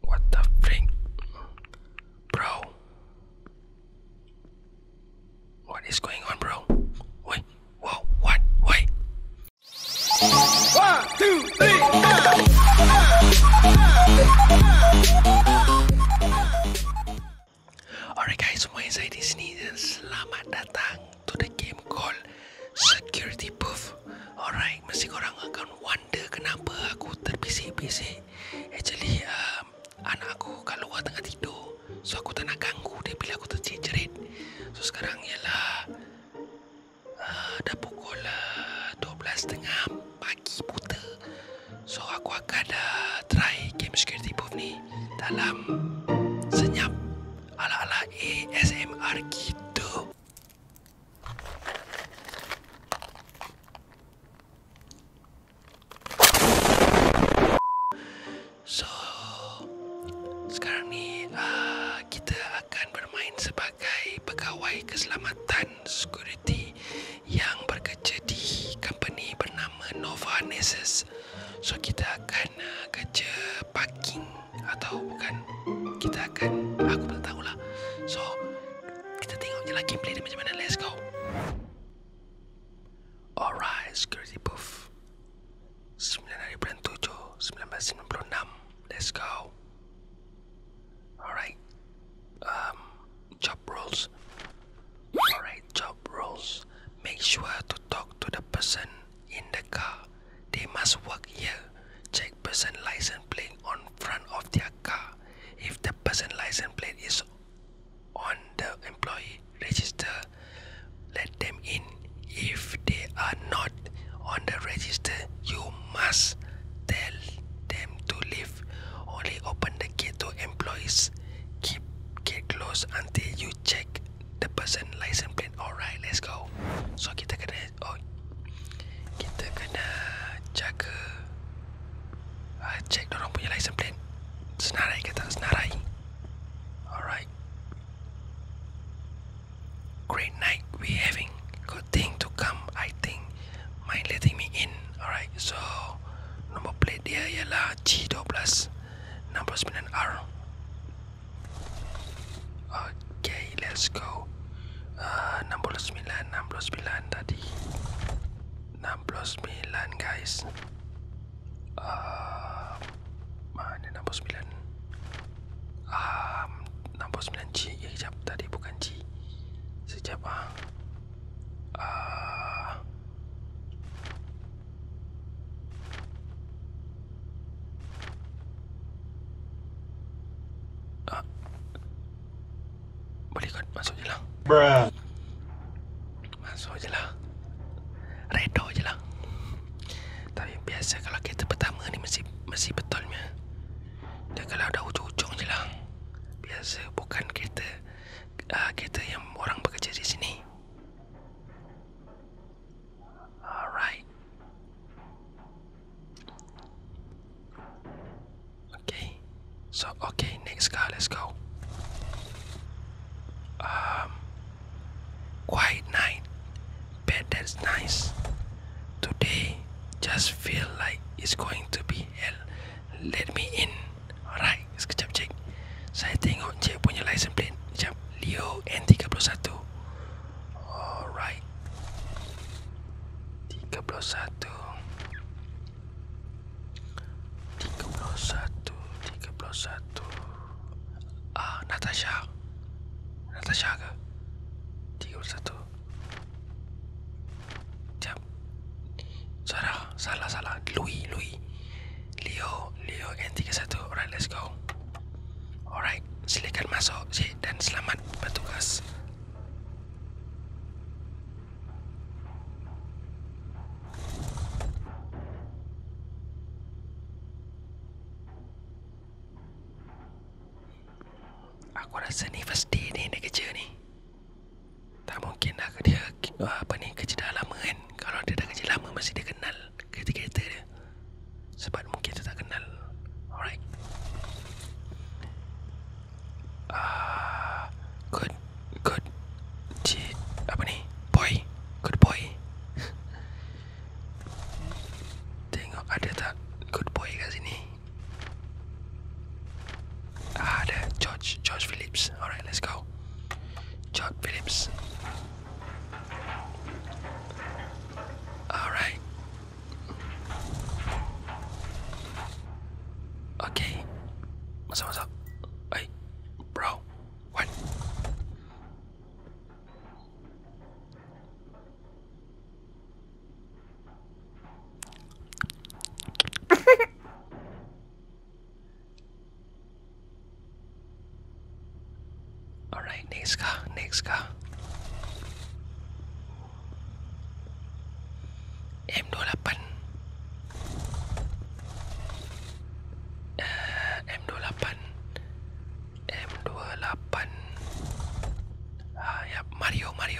What the frig? Bro. What is going on, bro? Wait, whoa, what? Wait. One, two, three, Alright guys, semua yang saya di sini dan selamat datang to the game called Security Booth. Alright, mesti korang akan wonder kenapa aku terbisik-bisik Actually uh, anak aku kalau luar tengah tidur So aku tak nak ganggu dia bila aku terjerit So sekarang ialah uh, Dah pukul uh, 12.30 pagi buta So aku akan uh, try game security booth ni Dalam senyap ala-ala ASMR gitu So sekarang ni uh, kita akan bermain sebagai pegawai keselamatan security yang bekerja di company bernama Nova Nexus. So kita akan uh, kerja parking atau bukan akan kita akan aku tak tahulah. So kita tengok je lah gameplay dia macam mana. Let's go. Alright, security booth. 9 hari bulan 7, enam. Let's go. Alright. Um, job roles. Alright, job roles. Make sure to talk to the person in the car they must work here. Check person license plate on front of their car. If the person license plate is on the employee register, let them in. If they are not on the register, you must tell them to leave. Only open the gate to employees. Keep gate closed until you check the person license plate. Alright, let's go. So kita kena oh kita kena jaga uh, check punya license plate senarai ke tak senarai alright great night we having good thing to come I think mind letting me in alright so number plate dia ialah G12 69R Okay, let's go. Uh, 69, 69 tadi. 69 guys. Uh, mana 69? Um, 69 G. Eh, sekejap. Tadi bukan G. Sekejap lah. Uh. Uh, boleh kot masuk je lah Bruh. Masuk je lah Redo je lah Tapi biasa kalau kereta pertama ni mesti, mesti betulnya Dan kalau dah ujung-ujung je lah Biasa bukan kereta uh, Kereta yang orang bekerja di sini All right. Okay. So okay, next car. Let's go. Um. Quiet night. Bet that's nice. Today just feel like it's going to be hell. Let me in. Alright, sekejap cik. Saya tengok oh, cik punya license plate. Sekejap. Leo N31. Alright. 31 31 31 Ah, Natasha. Natasha ke? 31 Jap. Sarah. salah, salah. Louis, Louis. Leo, Leo N31. let's go. Alright, silakan masuk si dan selamat bertugas. Aku rasa ni first day ni dia kerja ni. Tak mungkin lah dia apa ni kerja dah lama kan. Kalau dia dah kerja lama mesti dia kenal kereta-kereta dia sebab mungkin dia tak kenal alright ah uh, good good G- apa ni boy good boy tengok ada tak good boy kat sini ah, ada George George Phillips alright let's go George Phillips Thank you. All right. Okay. What's up? What's up? Hey, bro. What? Alright, next car, next car. M28. Uh,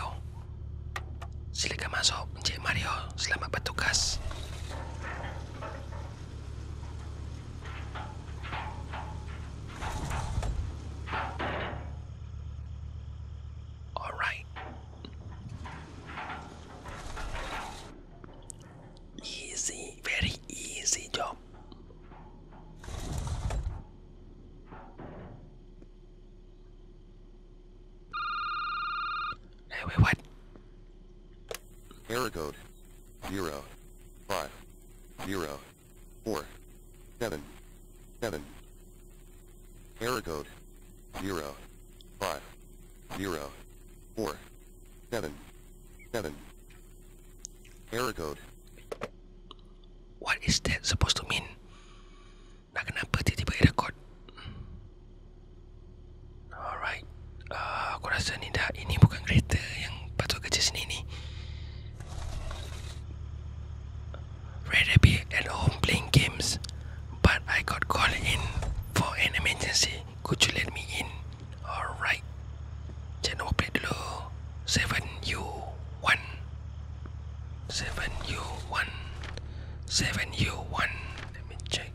ah, Silakan masuk Encik Mario Selamat bertugas All right. Easy, very easy job. Hey, wait, what? zero five 0, 4, 7, 7. Error code 0, 5, 0, 4, 7, 7. Error code. What is that supposed to mean? Nak kenapa tiba-tiba error code? Alright uh, at home playing games But I got called in for an emergency Could you let me in? Alright Check nombor 7U1 7U1 7U1 Let me check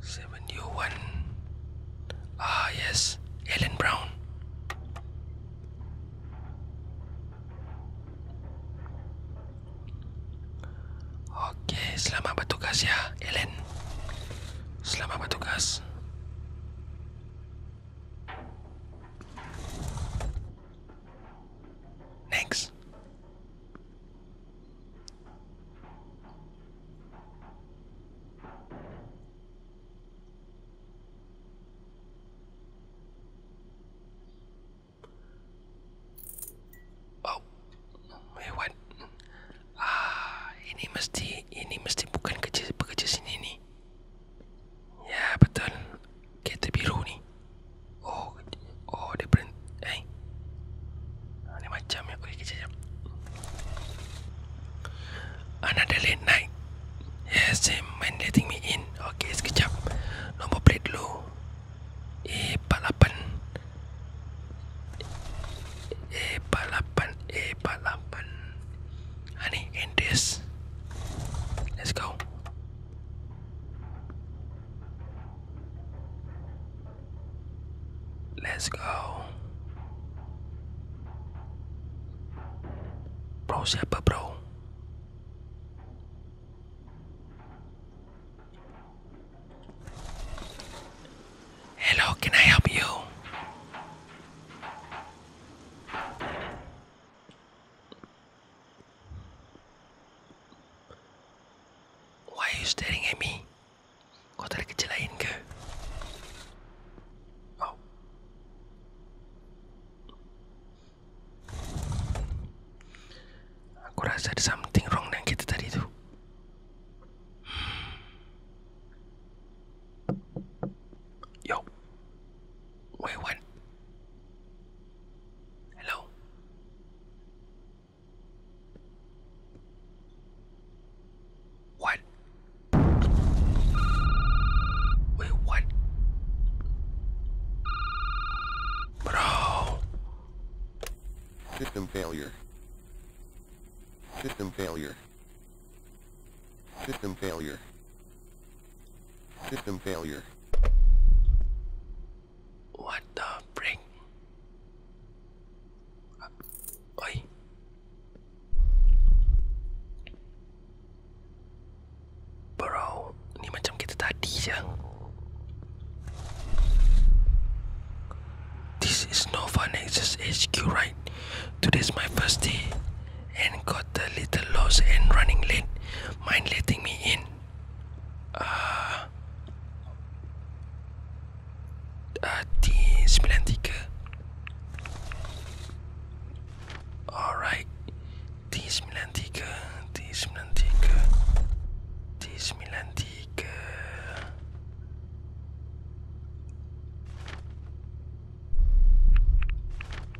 71 Ah yes, Ellen Brown. Okey, selamat bertugas ya, Ellen. Selamat bertugas. Next. Oh, ah, mesti ini mesti bukan kerja pekerja sini ni. Ya betul kereta biru ni oh oh dia brand eh hey. Ah, ni macam ya okey kejap another late night yes same man letting me in okey sekejap nombor plate dulu A48 A48 A48 Ani, Endes. Let's go. Let's go. Bro, siapa bro? Hello, can I help you? Why are you staring at me? Kau tak ada kerja lain ke? Oh. Aku rasa ada something wrong dengan kita tadi tu. Hmm. Yo. Wait, what? Hello. What? Wait, what? Bro. System failure. System failure. System failure. System failure. What the frick? Oi. Bro, ni macam kita tadi je. This is no fun access eh. HQ, right? Today's my first day and got a little lost and running late. Mind letting me in? die Splendike. Alright. Die Splendike. Die Splendike. Die Splendike.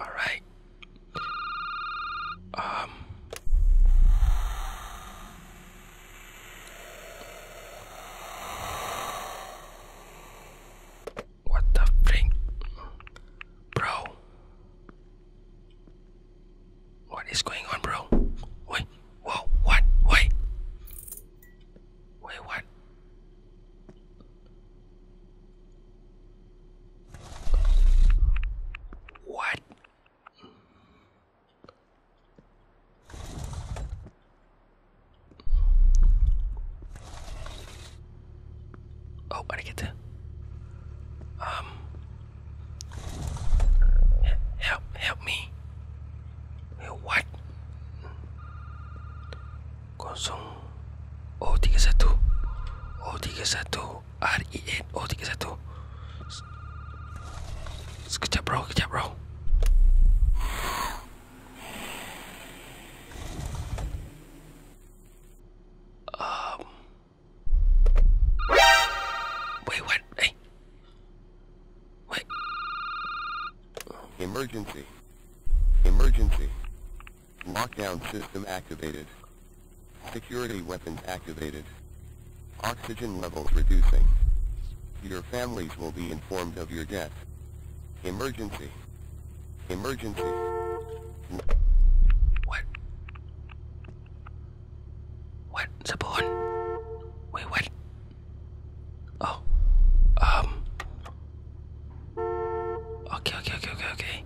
All right. Um. What the freak, bro? What is going on, bro? Wait, whoa, what? Wait, wait, what? What? Oh, I get to. Um. Help, help me. What? Kosong O tiga R E N O tiga satu Sekejap bro, sekejap bro Um Wait, what? Hey. What? Emergency. Emergency. Lockdown system activated. Security weapons activated. Oxygen levels reducing. Your families will be informed of your death. Emergency. Emergency. What? What? Sabon? Wait, what? Oh. Um. Okay, okay, okay, okay, okay.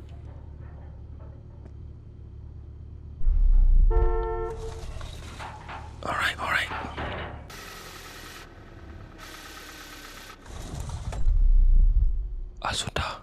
Alright, alright. Ah, sudah.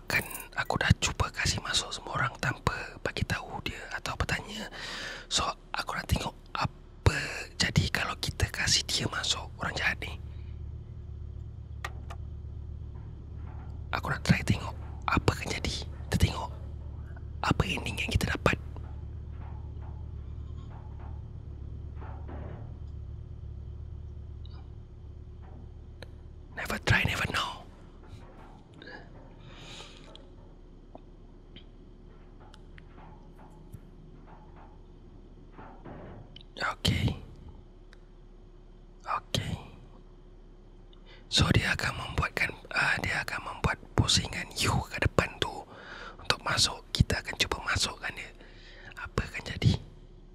akan aku dah cuba kasih masuk semua orang tanpa bagi tahu dia atau bertanya. So aku nak tengok apa jadi kalau kita kasih dia masuk orang jahat ni. Aku nak try tengok apa akan jadi. Kita tengok apa ending yang kita dapat. Never try, never know. Okay. Okay. So dia akan membuatkan uh, dia akan membuat pusingan you ke depan tu untuk masuk. Kita akan cuba masukkan dia. Apa akan jadi?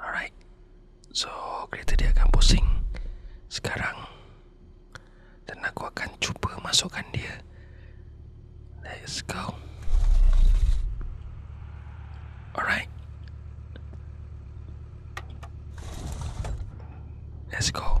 Alright So kereta dia akan pusing Sekarang Dan aku akan cuba masukkan dia Let's go Alright Let's go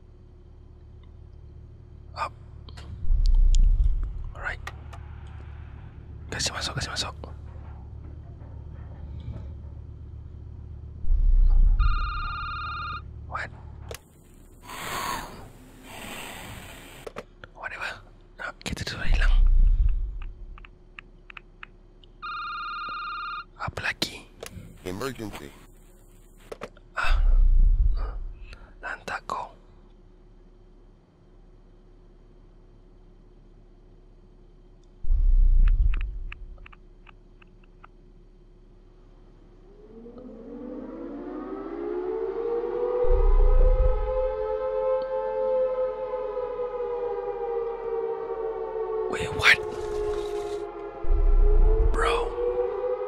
Up. Alright. Kasih masuk, kasih masuk. What? Whatever. Nah, kita sudah hilang. Apa lagi? Emergency. あうんなんだこう Wait, what? Bro,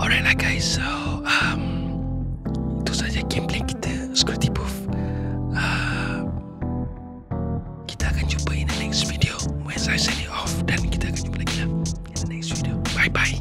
Alright lah guys So um, Itu saja gameplay kita Scrutty Booth ah, uh, Kita akan jumpa in the next video When I send off Dan kita akan jumpa lagi lah In the next video Bye bye